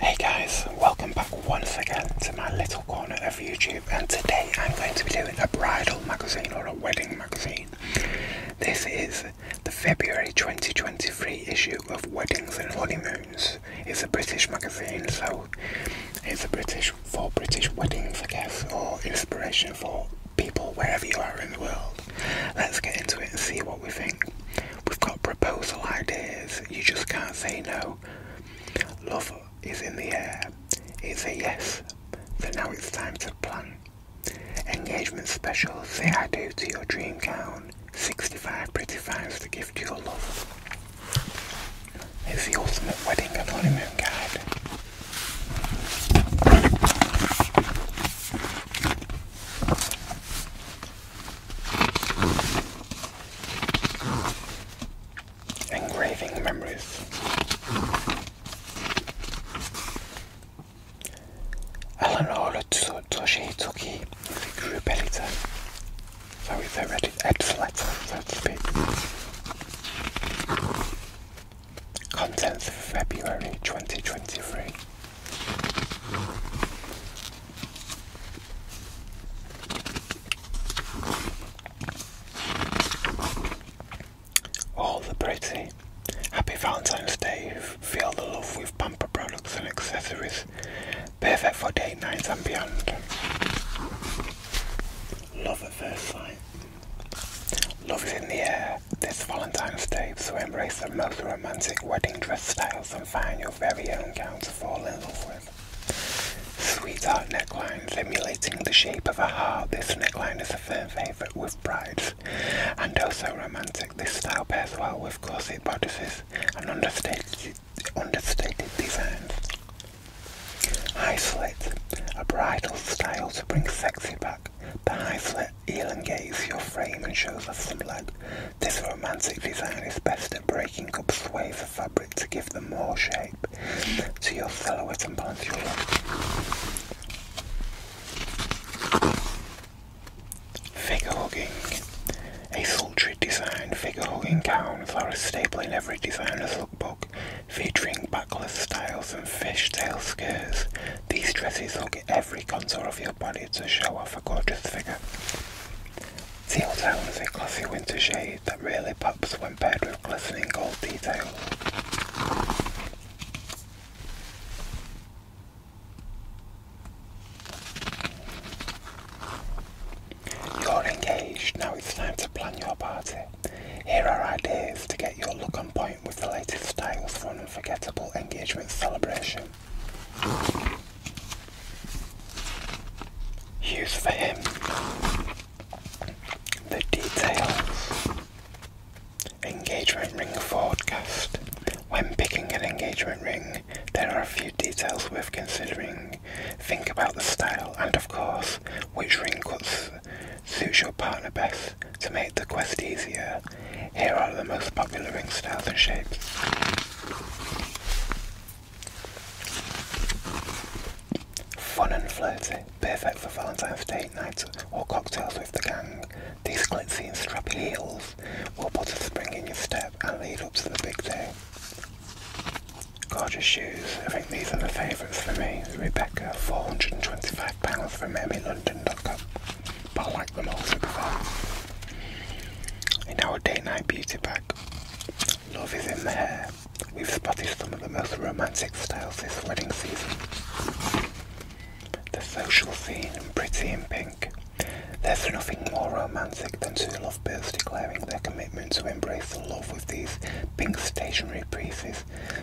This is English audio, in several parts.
Hey guys, welcome back once again to my little corner of YouTube and today I'm going to be doing a bridal magazine or a wedding magazine. This is the February 2023 issue of Weddings and Honeymoons. It's a British magazine so it's a British for British weddings I guess or inspiration for people wherever you are in the world. Let's get into it and see what we think. We've got proposal ideas. You just can't say no. Love is in the air. It's a yes. So now it's time to plan. Engagement special. Say I do to your dream gown. 65 pretty finds to give to your love. It's the ultimate wedding and honeymoon guide. Engraving memories. Eleanor Toshitoki is group editor, so he's a editor, so to speak on February 2023. All the pretty. Happy Valentine's Day. Feel the love with bumper products and accessories. Perfect for date nights and beyond. Love at first sight. Love is in the air this Valentine's Day, so embrace the most romantic wedding dress styles and find your very own gown to fall in love with. Sweetheart necklines emulating the shape of a heart. This neckline is a firm favourite with brides and also romantic. This style pairs well with corset bodices and understated, understated designs. High slit, a bridal style to bring sexy back. The high slit elongates your frame and shows off some leg. This romantic design is best at breaking up sways of fabric to give them more shape to your silhouette and balance your look. Figure hugging. A sultry design figure hugging gowns are a staple in every designer's lookbook. Featuring backless styles and fishtail skirts, these dresses hug every contour of your body to show off a gorgeous figure. Teal Town is a classy winter shade that really pops when paired with glistening gold detail. You're engaged, now it's time to plan your party. Here are ideas to get your look on point with the latest styles for an unforgettable engagement celebration. Use for him the details. Engagement ring forecast. When picking an engagement ring, there are a few details worth considering. Think about the style and, of course, which ring cuts suits your partner best to make the quest easier. Here are the most popular ring styles and shapes. Fun and flirty, perfect for Valentine's Day night or cocktails with the gang. These glitzy and strappy heels will put a spring in your step and lead up to the big day. Gorgeous shoes. I think these are the favourites for me. Rebecca, £425 from emmylondon.com. But I like them all super far. In our day night beauty bag, love is in the hair. We've spotted some of the most romantic styles this wedding season. The social scene pretty in pink. There's nothing more romantic than two lovebirds declaring their commitment to embrace the love with these pink stationery pieces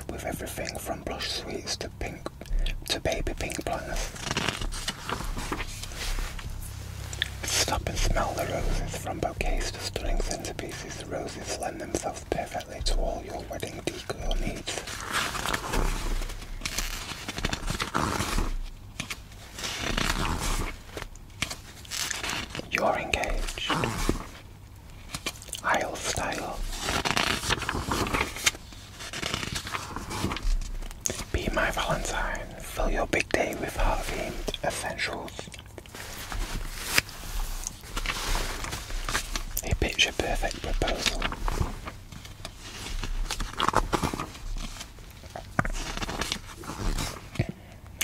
with everything from blush sweets to pink to baby pink planners. Stop and smell the roses from bouquets to stunning centerpieces. The roses lend themselves perfectly to all your wedding decor needs. You're engaged. Isle Style. Be my Valentine. Fill your big day with hard-themed essentials. A picture-perfect proposal.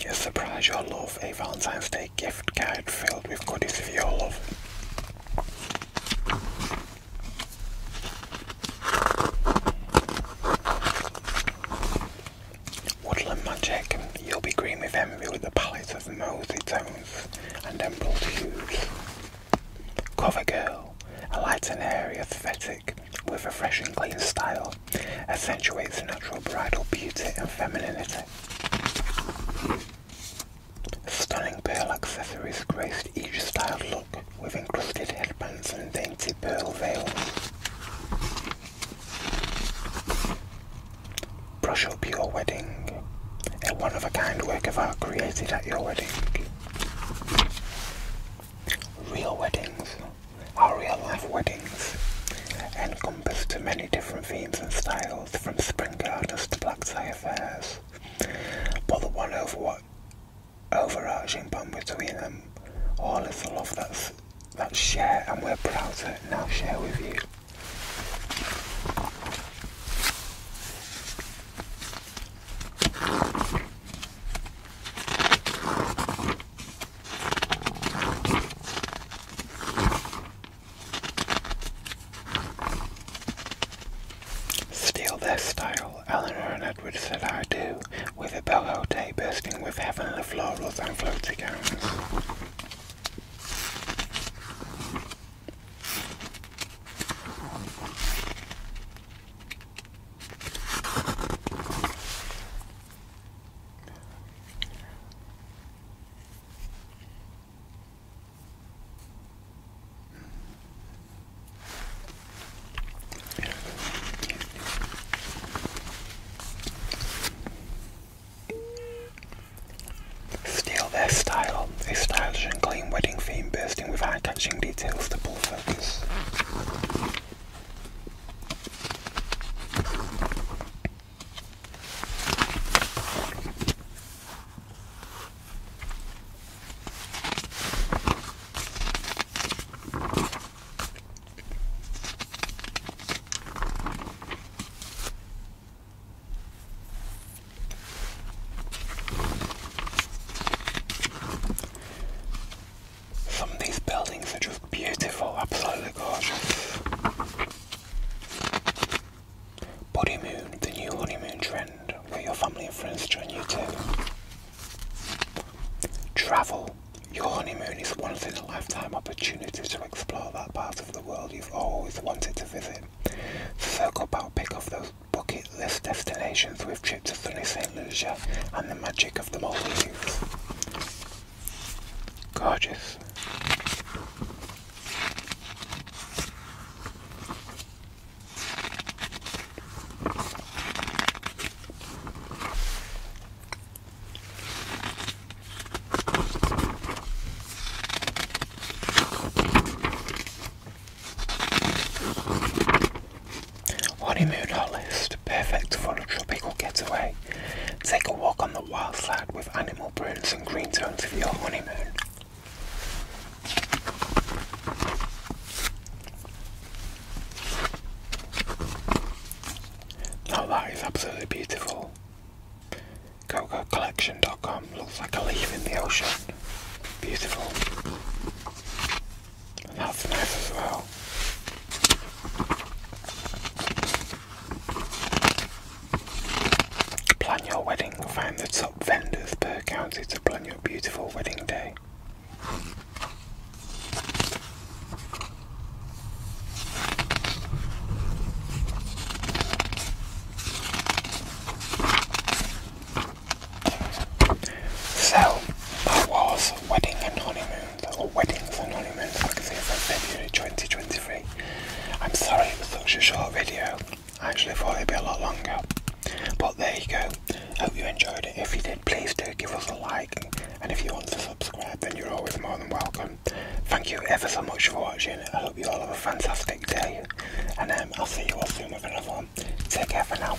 Yes, surprise your love. A Valentine's Day gift card filled with goodies for your love. Woodland Magic, you'll be green with envy with the palette of mossy tones and emerald hues. Cover Girl, a light and airy aesthetic with a fresh and clean style, accentuates natural bridal beauty and femininity. Stunning pearl accessories graced each styled look with encrusted headbands and dainty pearl veils. Brush up your wedding, a one-of-a-kind work of art created at your wedding. Real weddings are real-life weddings to many different themes and styles, from spring gardens to black tie affairs. But the one overarching bond between them all is the love that's that share and we're proud to now share with you. Steal their style, Eleanor and Edward said I do, with a bellow day bursting with heavenly florals and floaty gowns. Still their style, a stylish and clean wedding theme bursting with eye-catching details to pull focus. Some of these buildings are just Beautiful, absolutely gorgeous. Bodymoon, the new honeymoon trend, where your family and friends join you too. Travel, your honeymoon is once in a lifetime opportunity to explore that part of the world you've always wanted to visit. Circle back, pick off those bucket list destinations with trip to sunny St. Lucia and the magic of the Maldives. Gorgeous. Honeymoon olives perfect for a tropical getaway. Take a walk on the wild side with animal prints and green tones for your honeymoon. Oh, that is absolutely beautiful. CocoCollection.com looks like a leaf in the ocean. Beautiful. And that's nice as well. Plan your wedding. Find the top vendors per county to plan your beautiful wedding day. So that was wedding and honeymoon or weddings and honeymoons, like I say, from February 2023. I'm sorry it was such a short video. I actually thought it'd be a lot longer. But there you go. Hope you enjoyed it. If you did, please do give us a like. And if you want to subscribe, then you're always more than welcome. Thank you ever so much for watching. I hope you all have a fantastic day. And um, I'll see you all soon with another one. Take care for now.